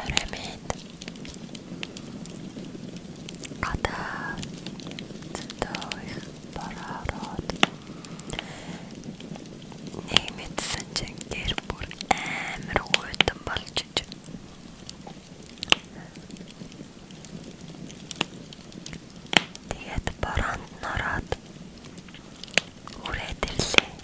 Орой минь гадаа зөндөө их бороо ороод нэг мэдсэн чинь гэр бүр амар гуйтан болж иж Тэгээд бороонд нороод үрээд ирлээ.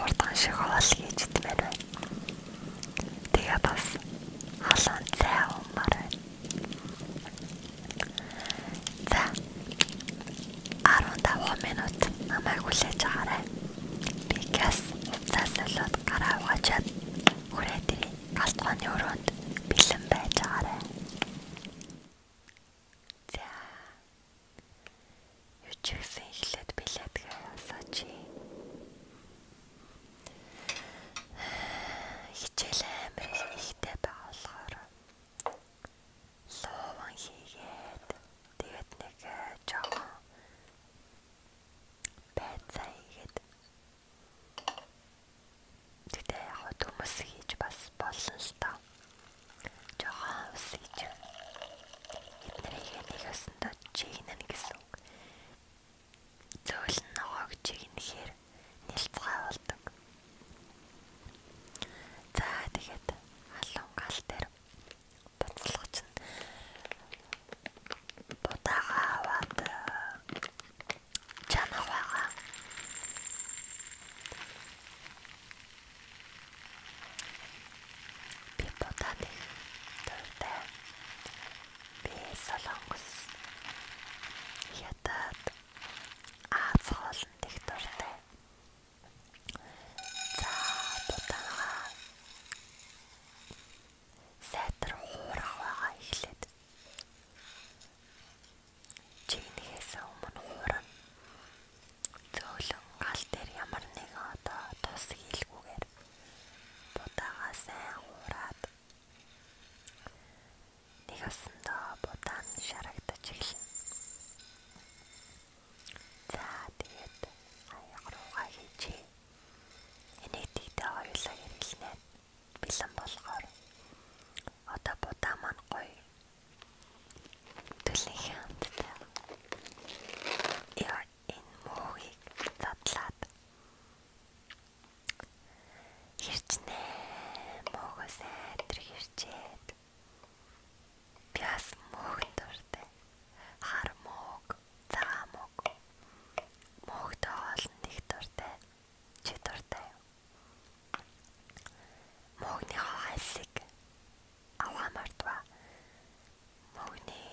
урдхан шиг хоол хийж идмээр байна. Тэгээ бас халуун цай уумаар байна. За 15 минут намайг хүлээж аваарай. Би газ цаасалууд гараа угаачаад хүрээтэй галт ухааны өрөөнд бэлэн байж аваарай. За Юу ч гэсэн эхлээд билетгээ авсаач. Хичээл амар ихтэй байгаа болохоор ловон хийгээд тэгээд нэг э, жоохон байцаа хийгээд тэгтээ яг хүмүүс хийж бас болно л доо. Жоохон ус хийж Эднэрийг ядыг ясандаа чигнэн гэсэн. Зөөлн ногоог чигнэхээр нэлцгээ болдог. За тэгээд халуун гал дээр буцалгаж нь будаага аваад э, чанах байгаа. Би бодоод дуртай. Би солонгос ятад Аз хоолнд их дуртай. За дутаага сэтэр хуурах байгаа ихлээд чигнээс өмнө хуурна. Зөөлөн гал дээр ямар нэгэн одоо тус хийлгүүгээр Будаага сайн хуураад нэг асандаа будаан шарагдаж эхэлнэ. За тэгээд аяг руугаа хийжээ. Энийг тэгтээ хоёулаа хэрэглэнэ. Бэлэн болгоор. Одоо будаа маань гоё. Төлний хямдтай. Яа энэ мөхийг задлаад Ирчнэ. Мөхөөс энтэр ирчээд. Пяс мөхөнд дуртай. Хар мөх, цагаан мөх. Мөхд олон нэг дуртай. Чи дуртай юу? Мөхний хасик. Аваа мартва. Мөхний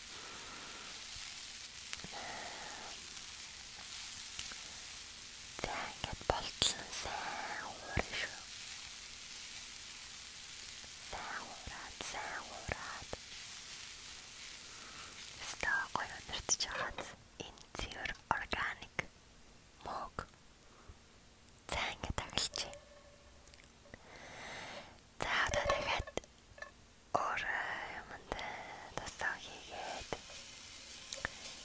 За ингээд болтлоо сайн уурна шүү. Сайн уураад, сайн уураад. Стаа гоё өнөртж хаад энэ цэвэр органик мог. За ингээд таглач. За одоо дахиад орой юмд тасаа хийгээд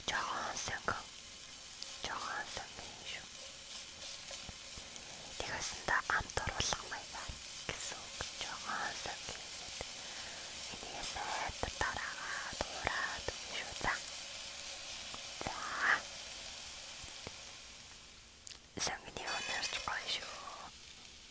жоохон сөнгө жоохон сөнгө шүү. Тэгэхсэндээ амт оруулах маяг байна гэсэн үг. Жоохон сөнгө хийгээд энэгээ сайд тараагаад ураад шүү та. За. Сөнгөний өнөрч гоё шүү.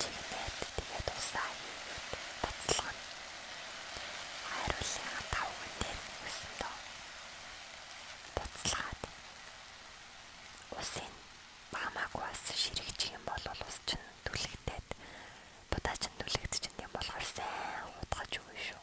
Чигнээд тэгээд усаа хийгээд буцалгана. Хайруулын тавган дээр үсэн дөө. Буцалгаад усын маамаагүй бас ширэгчих юм бол ус чинь түлэгдээд будаа чинь түлэгдчихэнд юм болохоор сайн хутгаж өгнө шүү.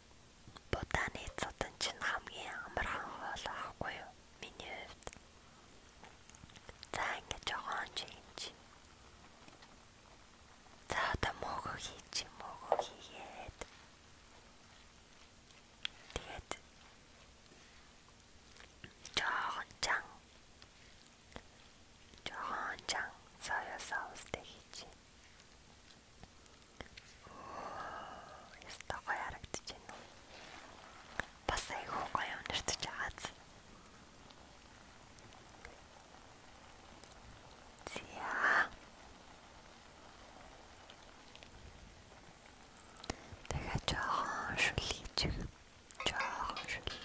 Бутаны цудан чинь хамгийн амархан хоол аахгүй юу? Миний хувьд. За ингэ жоохон ч юм чи. За одоо мөөгөө хийч юм мөөгөө хийгээд. Тэгээд жоохон чан. Жоохон чан соёо соустэй хийчих. Яста гоё харагдаж байна уу? Бас айгүй гоё өнөртөж байгааз. Зя. Тэгэ жоохон шүлгийч. Жоохон шүлгий.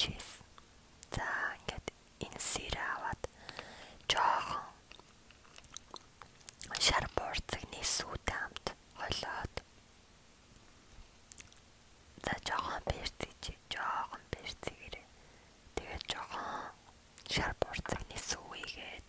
Cheese. За ингээд энэ сэрээ аваад жоохон шар буурцагны сүүтэй хамт холиод за жоохон перц чи жоохон перц гэрээ тэгээд жоохон шар буурцагны сүүгээд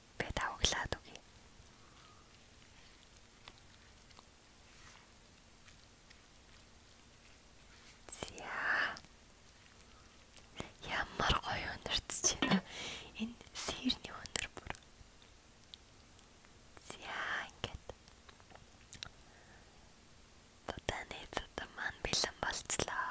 Би тавглаад үгүй. Зя. Ямар гоё өндөртж байна. Энэ сэрний өндөр бүр. Зя ингээд. Тотаны тотаман бэлэн болцлоо.